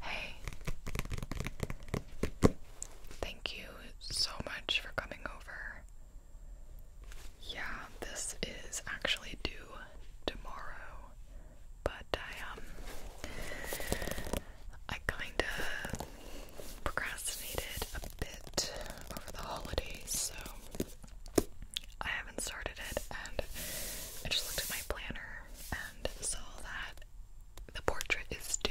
Hey, thank you so much for coming over. Yeah, this is actually due tomorrow, but I, um, I kinda procrastinated a bit over the holidays, so I haven't started it, and I just looked at my planner, so that the portrait is due,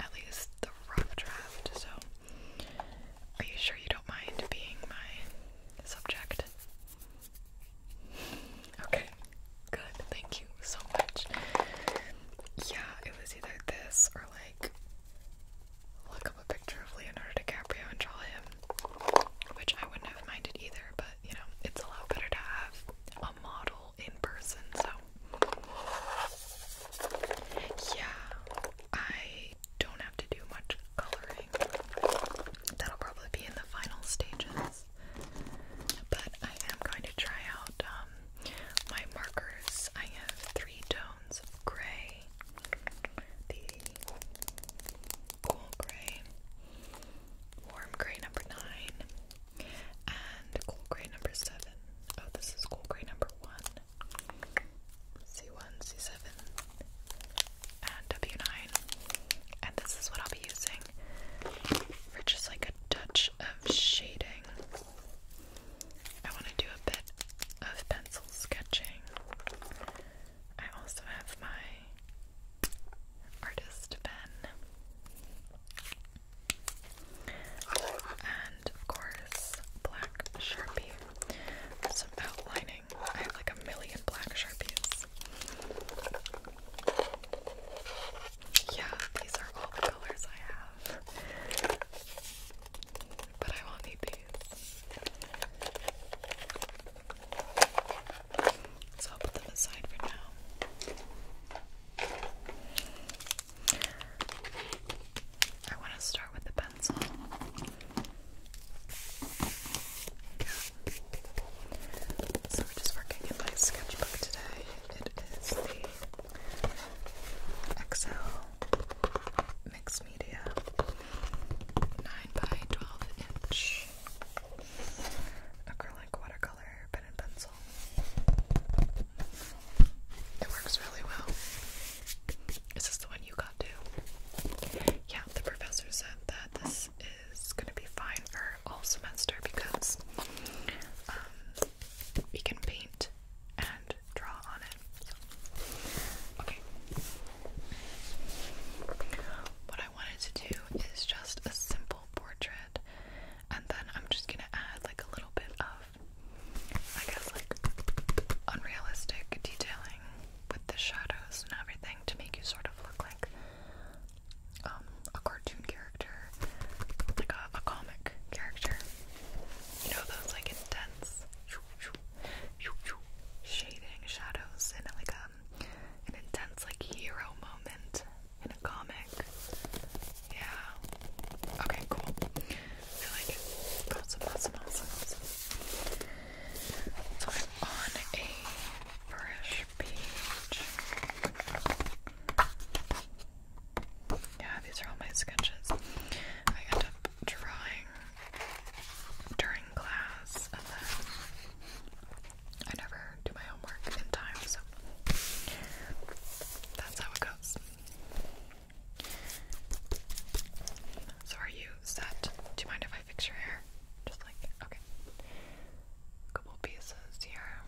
at least the rough draft. So, are you sure you don't mind being my subject? Okay, good. Thank you so much. Yeah, it was either this or like look up a picture of Leonardo DiCaprio and draw him, which I wouldn't have minded either, but you know, it's a lot better to have a model in person, so. Yeah, I don't have to do much coloring. That'll probably be in the final stages. But I am going to try out um, my markers. I have three tones of gray cool gray, warm gray number nine, and cool gray number seven. Oh, this is cool gray number one. C1, C7, and W9. And this is what I'll be using for just like a touch of shading. I want to do a bit of pencil sketching. I also have my artist pen. And of course, black sharpie. Some outlining. I have like a million black sharpies. Yeah, these are all the colors I have. But I won't need these. So I'll put them aside for now. I want to start with the pencil. So we're just working in my sketchbook today. It is the Excel Mixed Media 9 by 12 inch acrylic watercolor pen and pencil. It works really well. Is this the one you got too? Yeah, the professor said that this is going to be fine for all semester because um, we can paint and draw on it. Okay, what I wanted to do is just a simple portrait, and then I'm just gonna add like a little bit of, I guess, like unrealistic detailing with the shadows and everything to make you sort of look like um, a cartoon character, like a, comic character. You know those like intense shading shadows in like a um, an intense like hero moment in a comic. Yeah. Okay, cool. I awesome, awesome, awesome. So I'm on a fresh page. Yeah, these are all my sketches. I end up drawing during class, and then I never do my homework in time, so that's how it goes. So, are you set? Do you mind if I fix your hair? Just like, okay. A couple pieces here.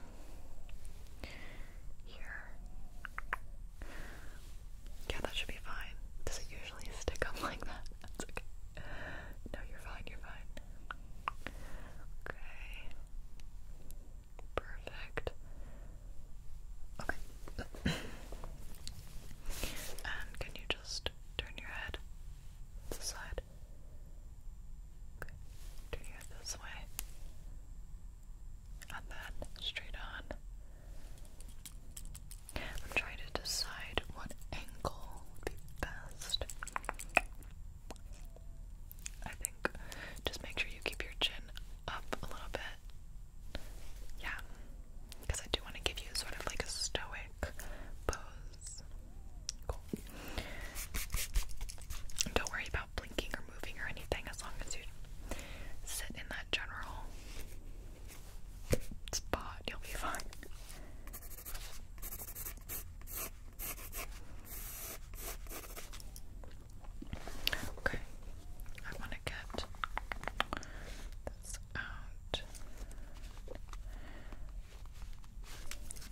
Here. Yeah, that should be fine. Does it usually stick up like that? That's okay. No, you're fine, you're fine. Okay. Perfect. Okay. and can you just turn your head to the side? Okay. Turn your head this way. And then straight on. I'm trying to decide what angle would be best. I think just make sure you keep your chin up a little bit. Yeah. Because I do want to give you sort of like a stoic pose. Cool. Don't worry about blinking or moving or anything as long as you sit in that general spot. You'll be fine. Okay, I want to get this out.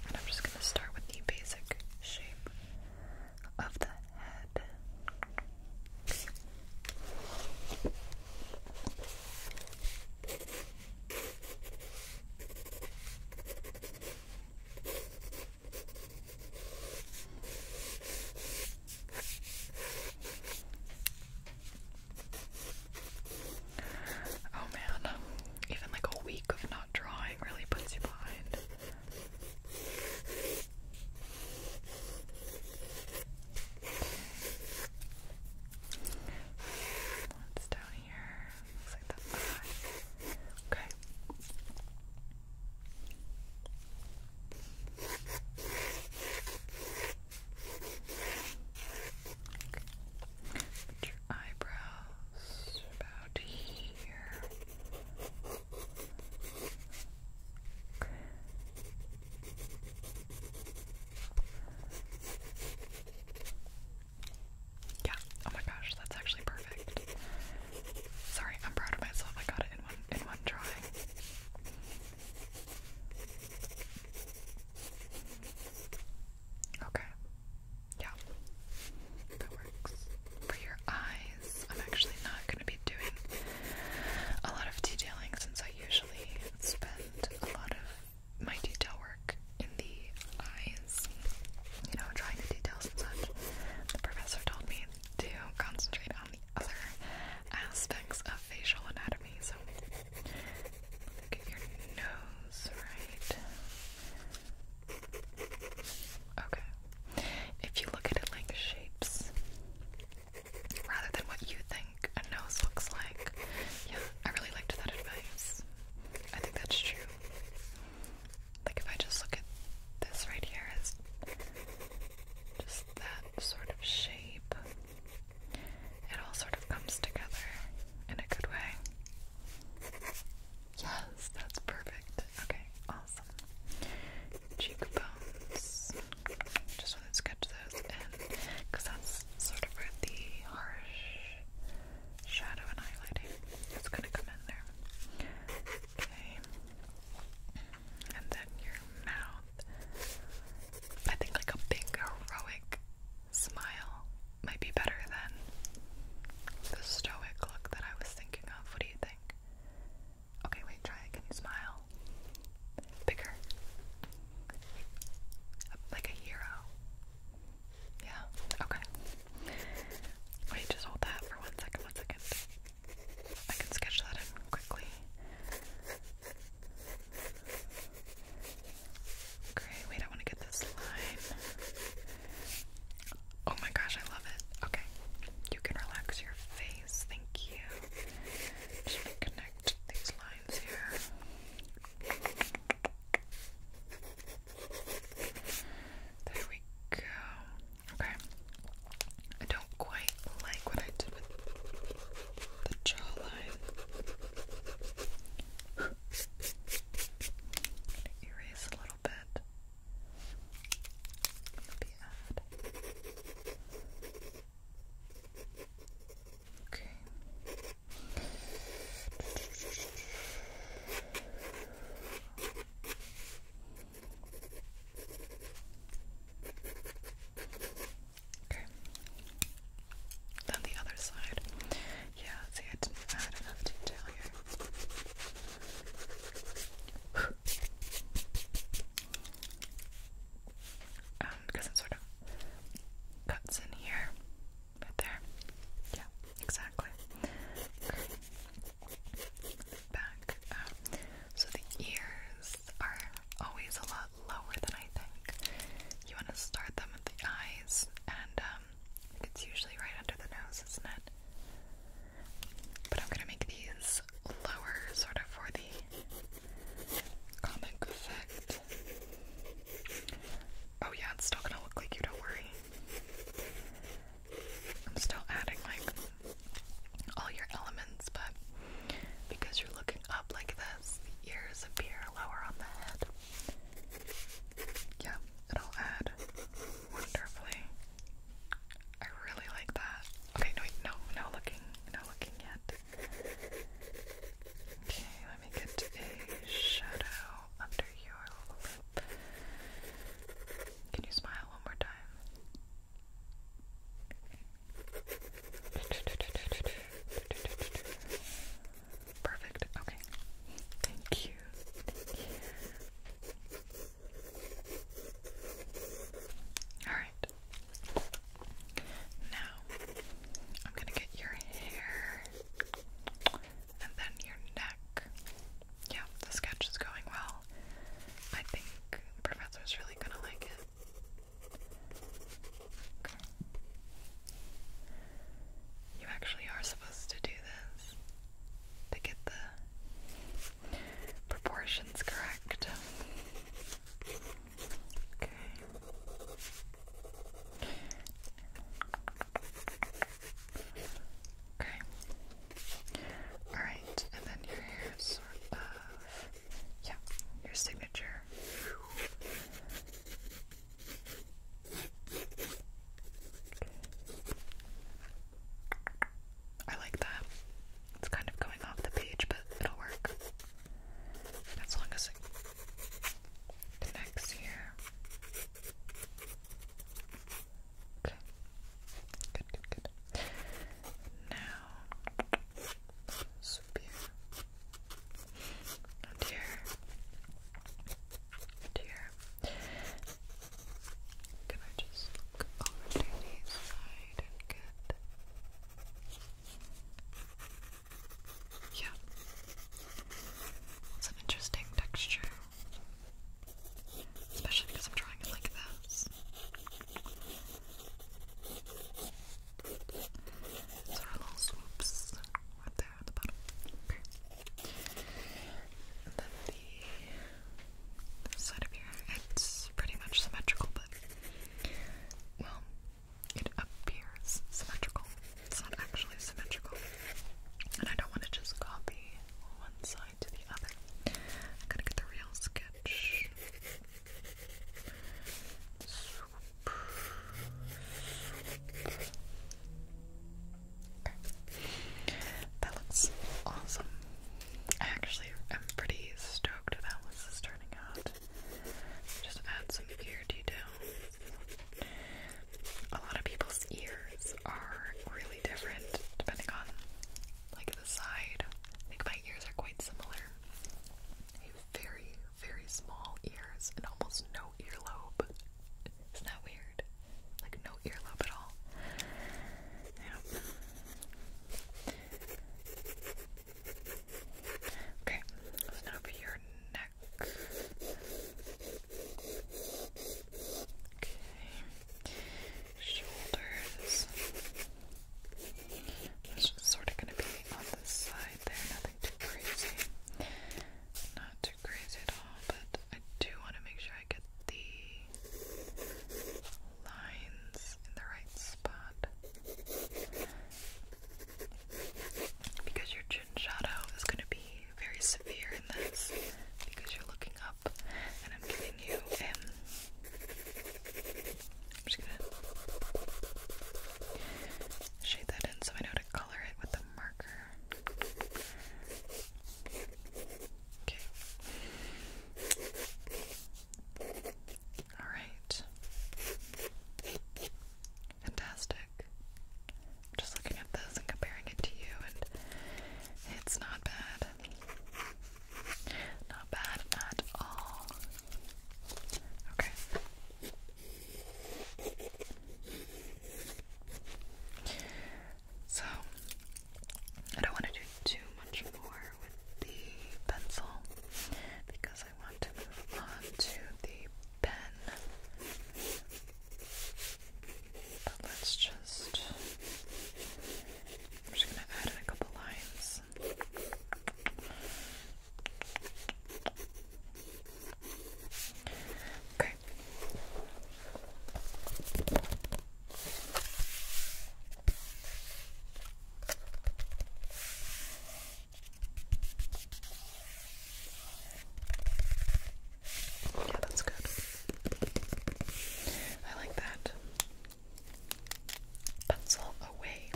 And I'm just going to start with the basic shape of the head. Oh man, even like a week of not drawing really puts you behind. What's down here? Looks like the eye. Okay. Put your eyebrows about here. Yeah, oh my gosh, that's actually perfect. Sorry, I'm proud of myself. I got it in one in one try. Okay. Yeah. That works. For your eyes, I'm actually not gonna be doing a lot of detailing since I usually spend left a lot of my detail work in the eyes, you know, drawing the details and such. The professor told me to concentrate on the other aspects of facial anatomy. So, look at your nose, right? Okay. If you look at it like shapes, rather than what you think a nose looks like. Yeah, I really liked that advice. I think that's true. Like, if I just look at this right here just that sort of shape, it all sort of comes together in a good way. Yes, that's perfect. Okay, awesome. Cheekbones. Just want to sketch those in because that's sort of where the harsh shadow and highlighting is going to come in there. Okay. And then your mouth. I think like a big heroic smile might be better than the stoic look that I was thinking of. What do you think? Okay, wait, try it. Can you smile? bigger, like a hero. Yeah. Okay. Wait, just hold that for one second. One second. I can sketch that in quickly. Great. Wait, I want to get this line. Oh my gosh, I love it. Okay. You can relax your face. Thank you connect these lines here. There we go. Okay. I don't quite like what I did with the jawline. Erase a little bit. That'll be Okay. Okay. Then the other side. Yeah, see, I didn't add enough to tell um, because it sort of cuts in here, right there. Yeah, exactly. Back So the ears are always a lot lower than I think. You want to start them at the eyes, and um, it's usually right under the nose, isn't it? But I'm gonna make these lower, sort of for the comic effect. Oh yeah, it's still gonna look like you, don't worry. I'm still adding like all your elements, but because you're looking up like this, the ears appear lower on the head. Yeah, it'll add wonderfully. I really like that. Okay, no, no, no looking, no looking yet. Okay, let me get a shadow under your lip. Can you smile one more time? Perfect. Okay. Thank you. Thank you. All right. Now, I'm gonna get your hair and then your neck. Yeah, the sketch is going well. I think the professor's really gonna like it. You actually are supposed to do this to get the proportions correct. Okay. Okay. Alright, and then your sort of yeah, your signature. I like that. It's kind of going off the page, but it'll work. As long as it connects here. Okay. Good, good, good. Now, here. here. here. Can I just look over to the side and get. Yeah. It's an interesting texture. Especially because I'm drawing it like this. So our little swoops right there side of here. It's pretty much symmetrical, but well, it appears symmetrical. It's not actually symmetrical. And I don't want to just copy one side to the other. I gotta get the real sketch. That looks awesome. I actually am pretty stoked that how this is turning out. Just add some ear detail. A lot of people's ears are really different depending on like the side. I think my ears are quite similar. very, very small ears and almost no earlobe. Isn't that weird? Like no earlobe at all. Yeah. Okay, over your neck. Okay, shoulders. It's just sort of going to be on this side there, nothing too crazy. Not too crazy at all, but I do want to make sure I get the lines in the right spot. Because your chin shadow is going to be very severe in this because you're looking up and I'm giving you um am just gonna shade that in so I know to color it with the marker. Okay. All right. Fantastic. Just looking at this and comparing it to you, and it's not bad. Not bad at all. Okay. So I don't want to do too much more with the pencil because I want to move on to the pen. But let's just just gonna add a couple lines. Okay. Yeah, that's good. I like that. Pencil away.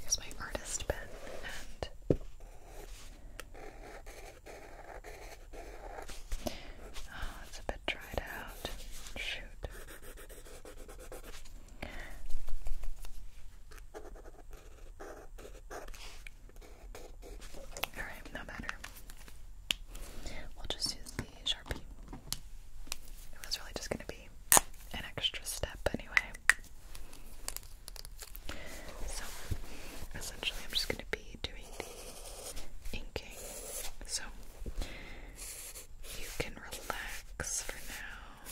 Here's my artist pen and Oh, it's a bit dried out. Shoot. Alright, no matter. We'll just use the Sharpie. It was really just gonna be an extra step anyway. So essentially I'm just gonna be be doing the inking, so you can relax for now.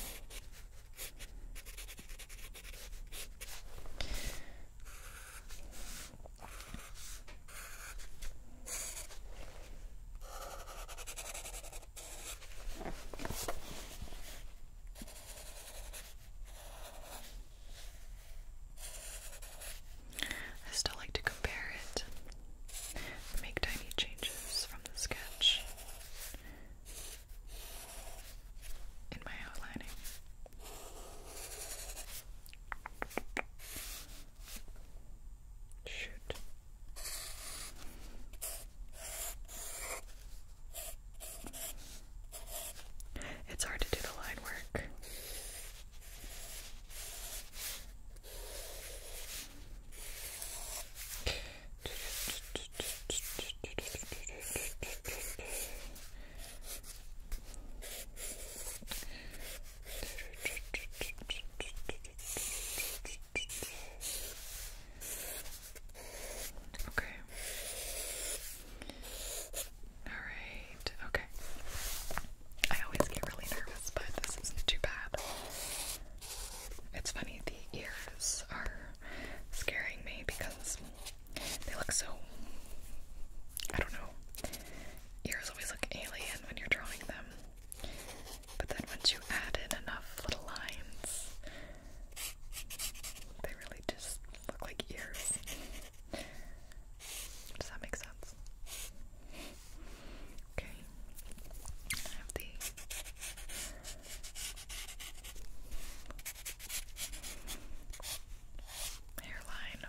Okay. I still like to compare it, make tiny changes from the sketch in my outlining. Shoot. It's hard to do the line work. Okay. Alright, okay. I always get really nervous, but this isn't too bad. It's funny, the ears are scaring me because they look so. I don't know. Ears always look alien when you're drawing them. But then once you add in enough little lines, they really just look like ears. Does that make sense? Okay. I have the hairline.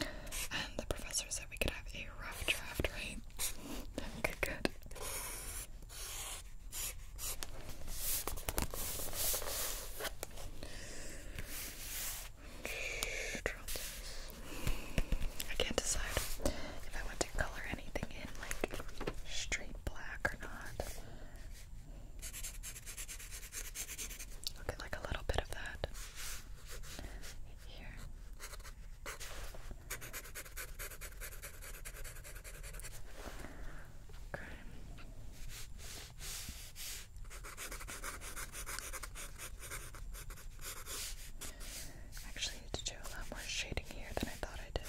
And the professor said we could have a rough draft, right? good, good. I can't decide if I want to color anything in, like straight black or not. i like a little bit of that here. actually to do a lot more shading here than I thought I did.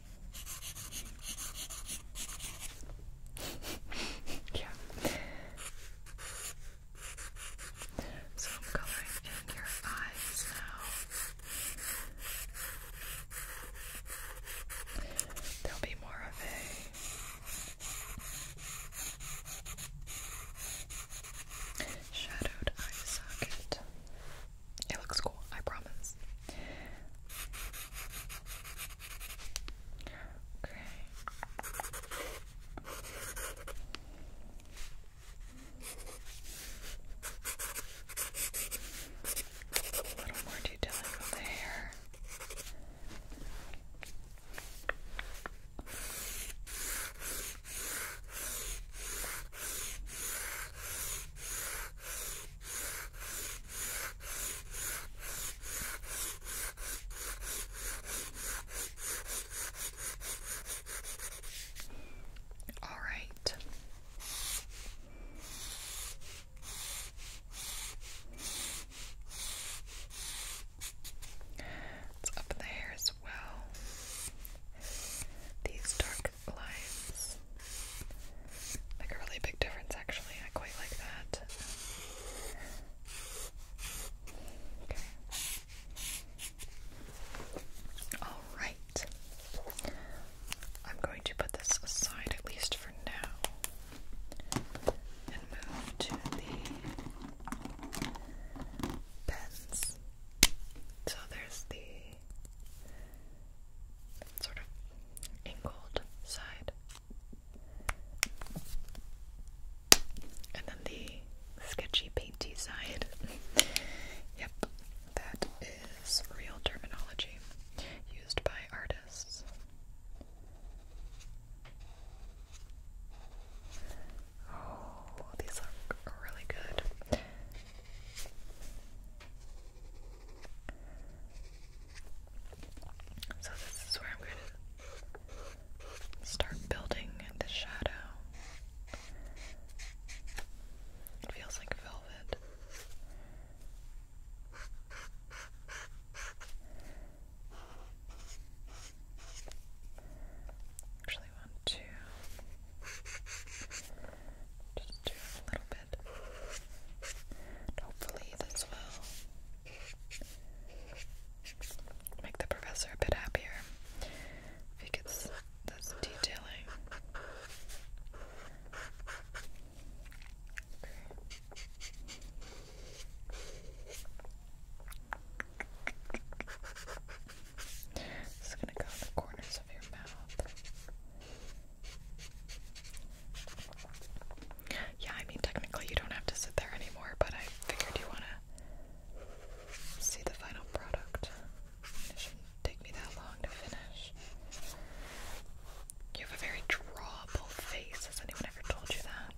yeah. So I'm coloring in your eyes now. There'll be more of a shadowed eye socket. It looks cool, I promise. Okay. A little more detailing on the hair. All right. It's up in the hair as well. These dark black a really big difference, actually. I quite like that. All right. I'm going to put this aside at least for now and move to the pens. So there's the sort of angled side. And then the sketchy painty side. yep, that is real terminology used by artists. Oh, these look really good. So this is where I'm going to start building the shadow. It feels like velvet. Actually, one, two. Just do a little bit. hopefully this will make the professor a bit happier. If he gets this detailing. It's gonna go in the corners of your mouth. Yeah, I mean, technically you don't have to sit there anymore, but I figured you wanna see the final product. It shouldn't take me that long to finish. You have a very drawable face. Has anyone ever told you that?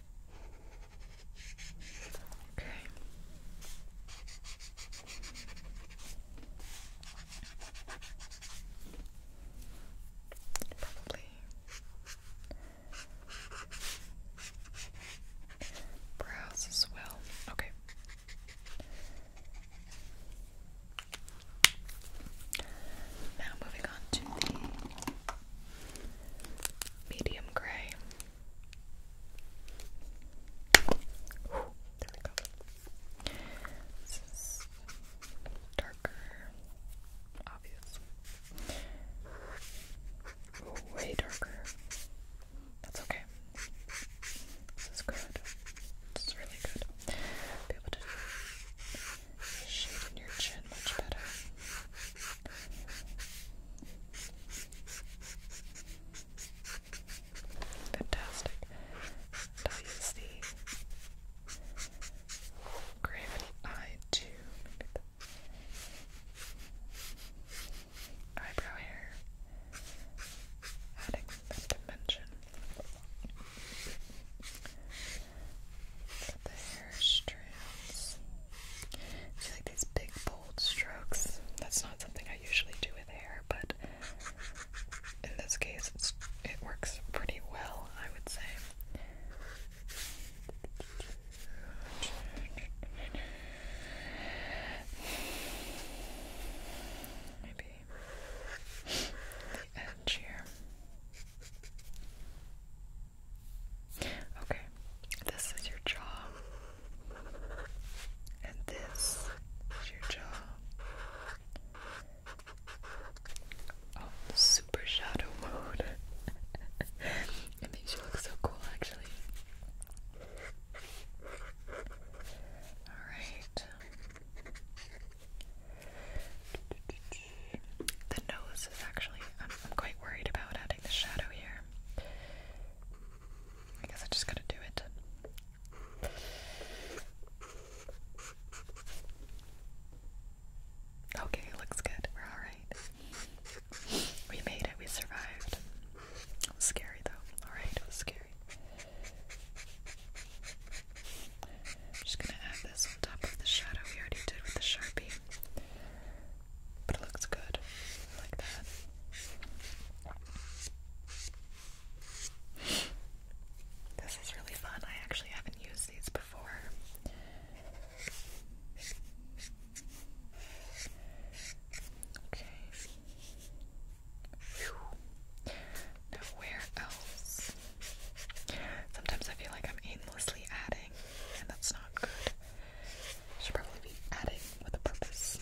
Okay. Probably brows as well. Okay. Now moving on to the medium gray. there we go. This is darker, obvious. way darker. That's okay. This is good. This is really good. be able to shaping your chin much better. Fantastic. Now gravity eye to eyebrow hair, adding dimension the hair strands. See, like these big bold strokes. That's not something I usually do with hair, but in this case, it works pretty well, I would say. Maybe the edge here. Okay, this is your jaw, and this is your jaw. Oh, super shadow mode. it makes you look so cool, actually. Alright. The nose is actually, I'm, quite worried about adding the shadow here. I guess I just gotta do it. Okay, looks good. We're alright. We made it, we survived. scary though. Alright, it was scary. I'm just gonna add this on top of the shadow we already did with the Sharpie. But it looks good like that. This is really fun. I actually haven't used these before. Okay. Now, where else Sometimes I feel like I'm aimlessly adding, and that's not good. should probably be adding with a purpose.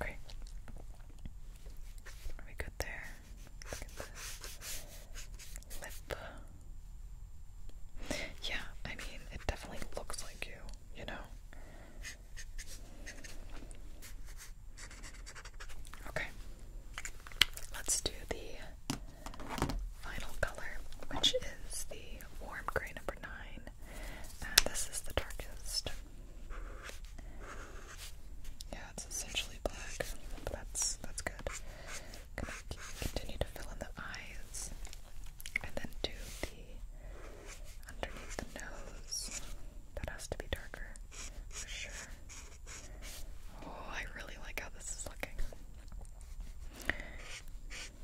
Okay. Are we good there? Lip. Yeah, I mean, it definitely looks like you, you know? Okay, let's do the final color, which is the warm gray number nine, and this is the darkest. Yeah, it's essentially black. That's that's good. going continue to fill in the eyes, and then do the underneath the nose. That has to be darker for sure. Oh, I really like how this is looking.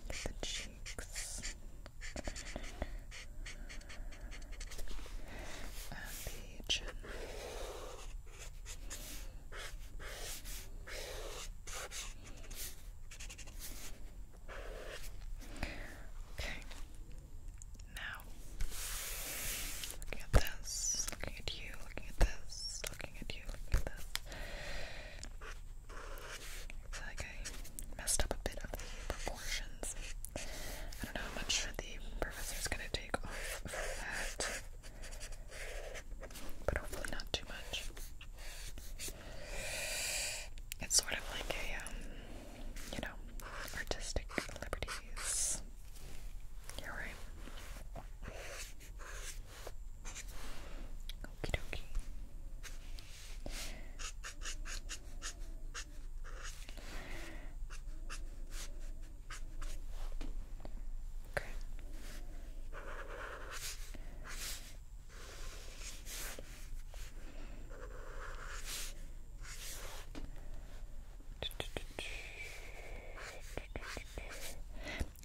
the cheeks and the chin. Okay. Now, looking at this, looking at you, looking at this, looking at you, looking at this. Looks like I messed up a bit of the proportions. I don't know how much the professor is gonna take off of that, but hopefully not too much. It's sort of like a um, you know, artistic liberties. You're right. Okay.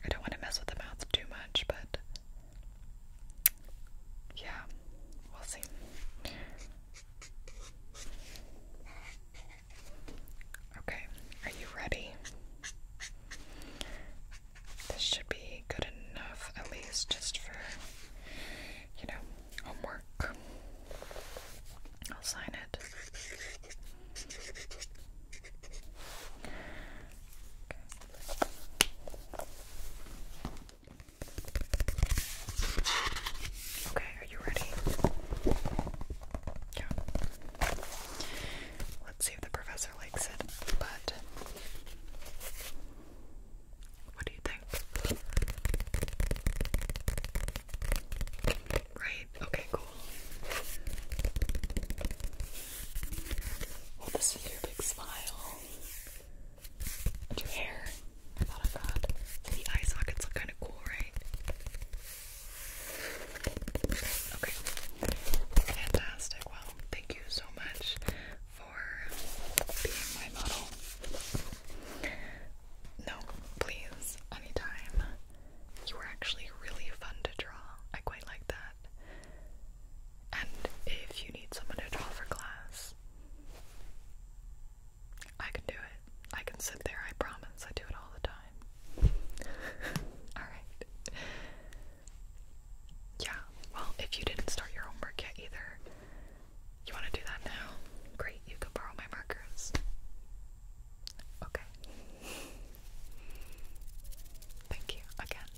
I don't want to mess with the mouth too much, but yeah, we'll see. Okay, are you ready? This should be good enough, at least just for, you know, homework. I'll sign it. Okay. are you ready? Yeah. Let's see if the professor likes it, but what do you think? Right? Okay, cool. Well, this is your big smile. your hair. I thought of that. The eye sockets look kind of cool, right? Okay. Fantastic. Well, thank you so much for being my model. No, please, anytime. You were actually really fun to draw. I quite like that. And if you need someone to draw for class, I can do it. I can sit there, I promise. I do it all the time. Alright. Yeah, well, if you didn't start your homework yet either, you want to do that now? Great, you can borrow my markers. Okay. Thank you again.